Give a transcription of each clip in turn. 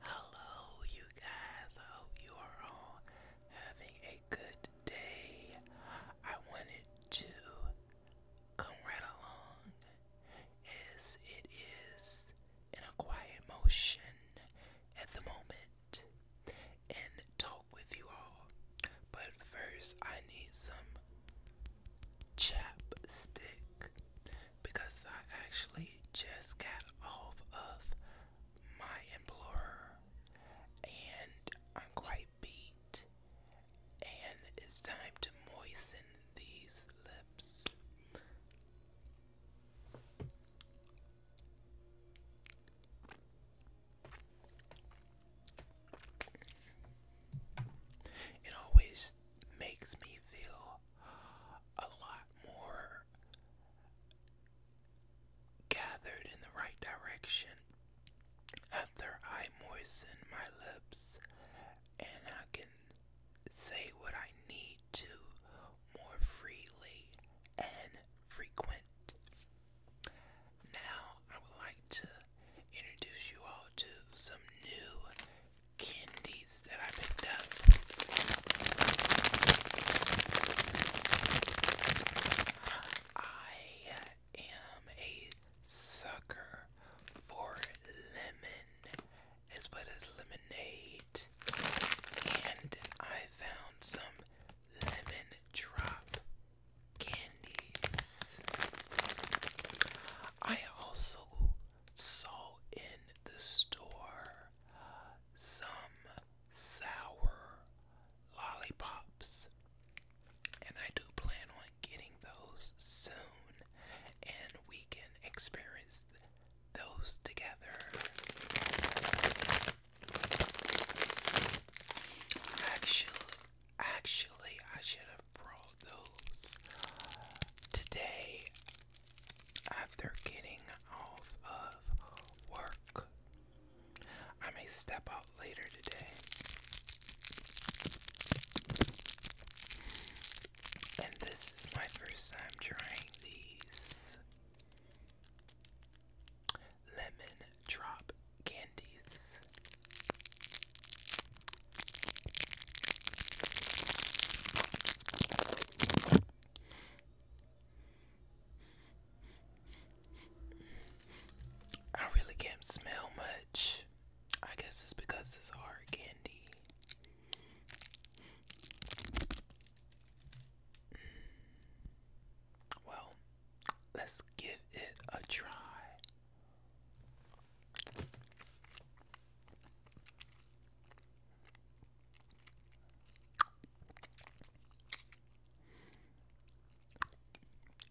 Hello, you guys. I hope you are all having a good day. I wanted to come right along as it is in a quiet motion at the moment and talk with you all. But first, I need some chapstick because I actually just got off of my employer, and I'm quite beat, and it's time to moisten these lips. It always makes me feel a lot more gathered in the right direction. After I moisten my lips, and I can say what I need to more freely and frequent. Now, I would like to introduce you all to some new candies that I picked up. I am a sucker for lemon, as well as lemonade, and I found some lemon drop candies. I also saw in the store some sour lollipops. And I do plan on getting those soon, and we can experience those together. Actually, actually, I should have brought those today. After getting off of work, I may step out later today and this is my first time trying these lemon drop candies I really can't smell much. I guess it's because it's hard candy. Well, let's give it a try.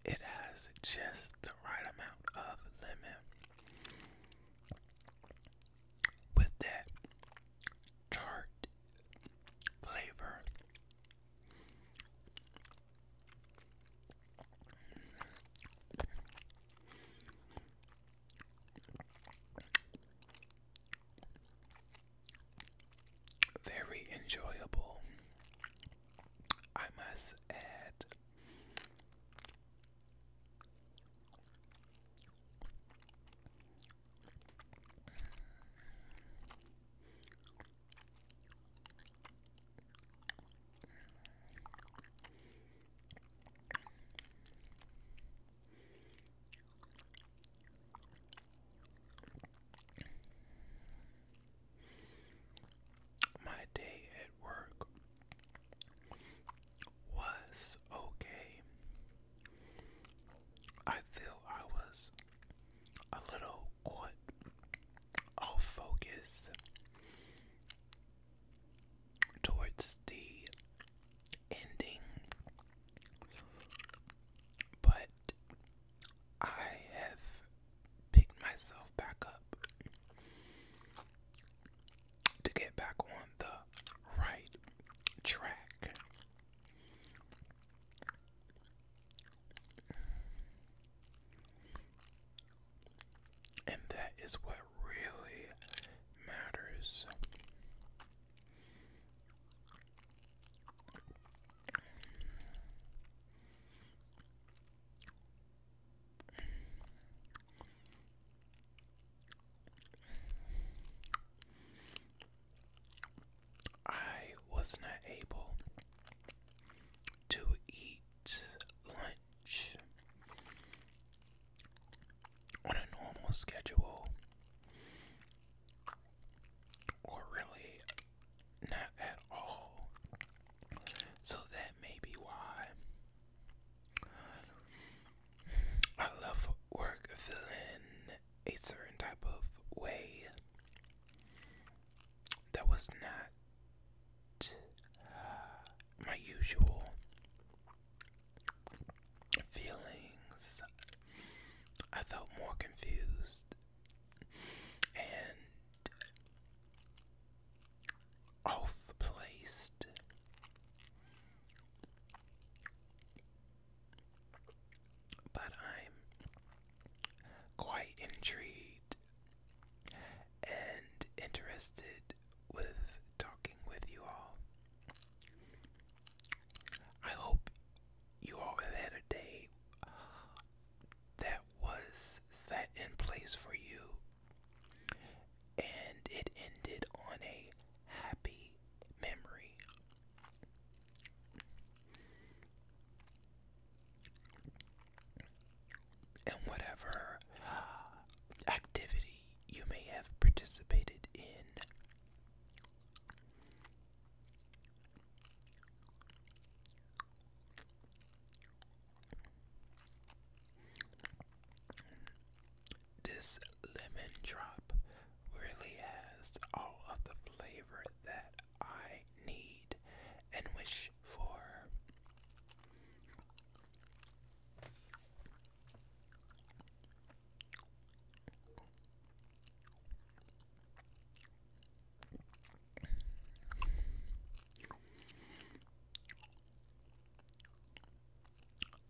It has just the right amount of lemon. With that tart flavor, very enjoyable, I must add. My day at work was okay. I feel I was a little caught off focus towards the ending, but I have picked myself back up to get back on the right track. And that is what really matters. I was not able to eat lunch on a normal schedule or really not at all. So that may be why I love work feeling a certain type of way that was not my usual feelings. I felt more confused and off placed. But I'm quite intrigued and interested with talking with you all. I hope you all have had a day that was set in place for you and it ended on a happy memory. And whatever activity you may have participated in this lemon drop really has all of the flavor that I need and wish for.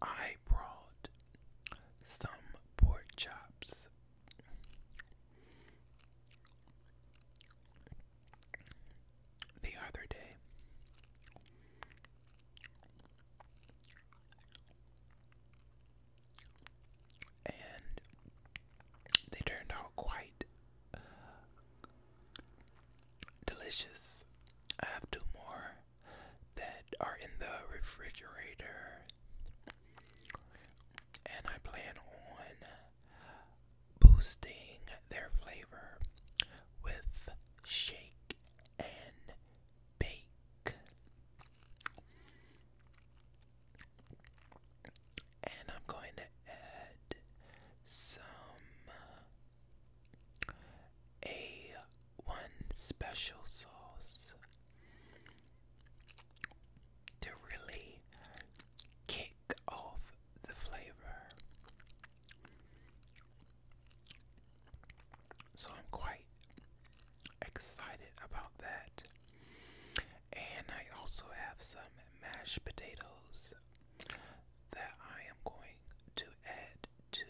I brought some pork chops. The other day, and they turned out quite delicious. I have two more that are in the refrigerator, and I plan on boosting their flavor with shake and bake. And I'm going to add some a one special sauce to really kick off the flavor. So I'm quite excited about that. And I also have some mashed potatoes that I am going to add to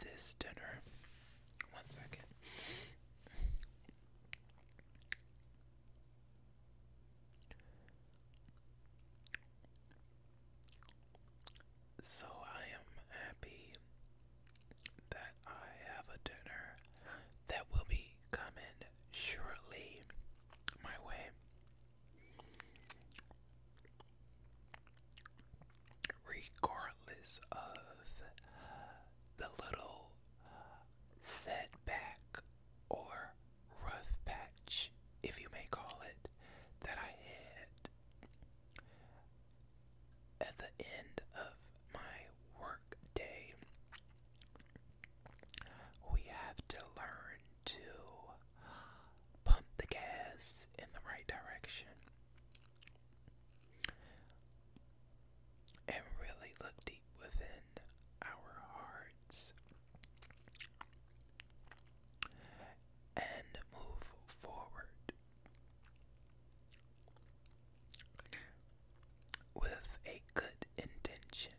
this dinner. One second. So I am happy that I have a dinner that will be coming shortly my way. Regardless of the little setback or rough patch, if you may call it, that I hit at the end of my work We have to learn to pump the gas in the right direction and really look deep within our hearts and move forward with a good intention.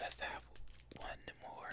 Let's have one more.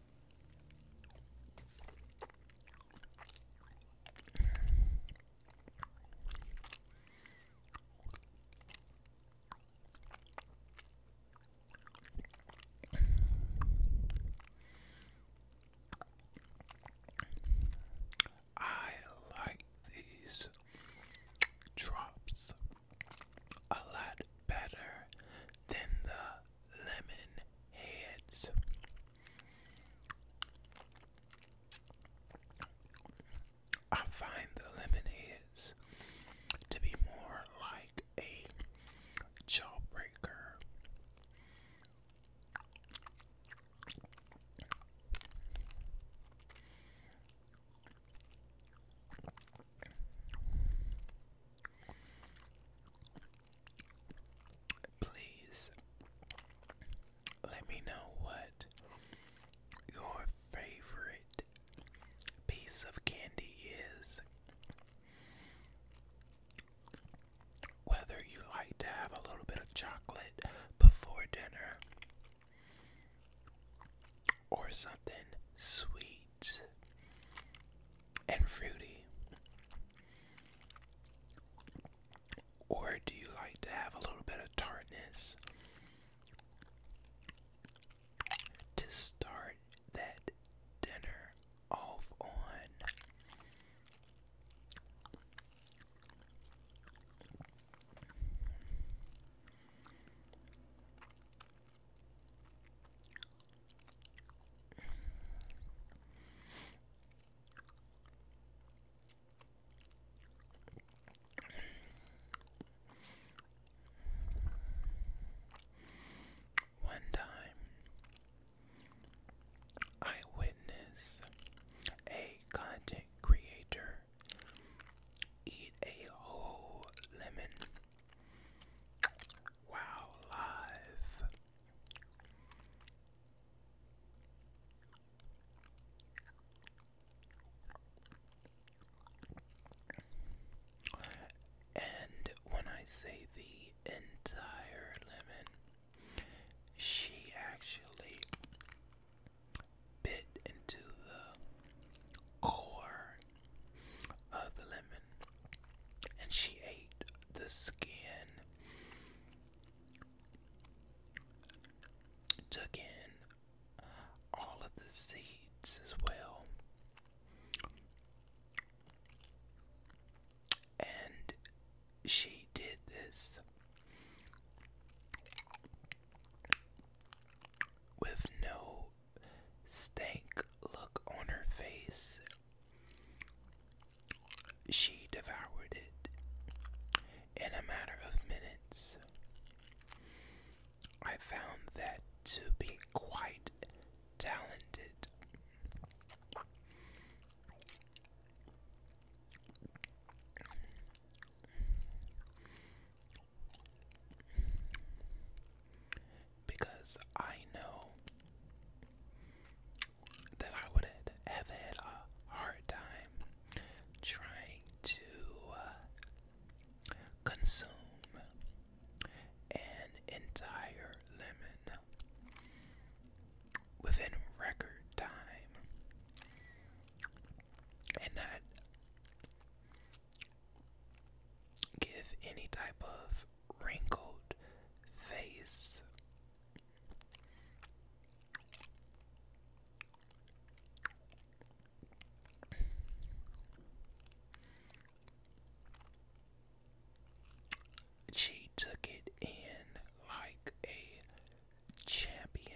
I like these drops a lot better than the lemon heads. I find the lemon heads to be more like a jawbreaker please let me know what your favorite piece of candy is. Whether you like to have a little bit of chocolate before dinner or something sweet and fruity? Or do you like to have a little bit of tartness to start that dinner off on? One time I witnessed a content creator eat a whole lemon while live and when I say the entire lemon, she actually bit into the core of the lemon and she ate the skin, took in all of the seeds as well. And she did this with no stank look on her face. She devoured it in a matter of minutes. I found that to be quite talented because I know that I would have had a hard time trying to uh, consume an entire lemon within record time and not give any type of wrinkled face. She took it in like a champion.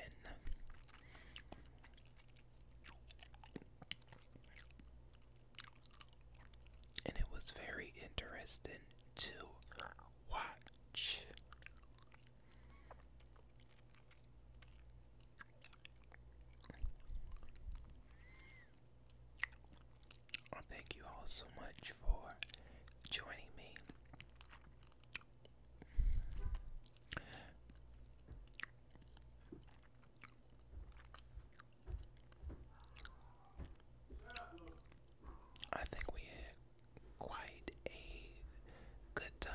And it was very interesting to watch. thank you all so much for joining me. I think we had quite a good time.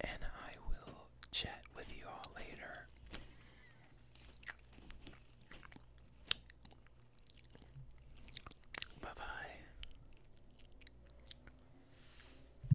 And I will chat with you all later. Bye bye.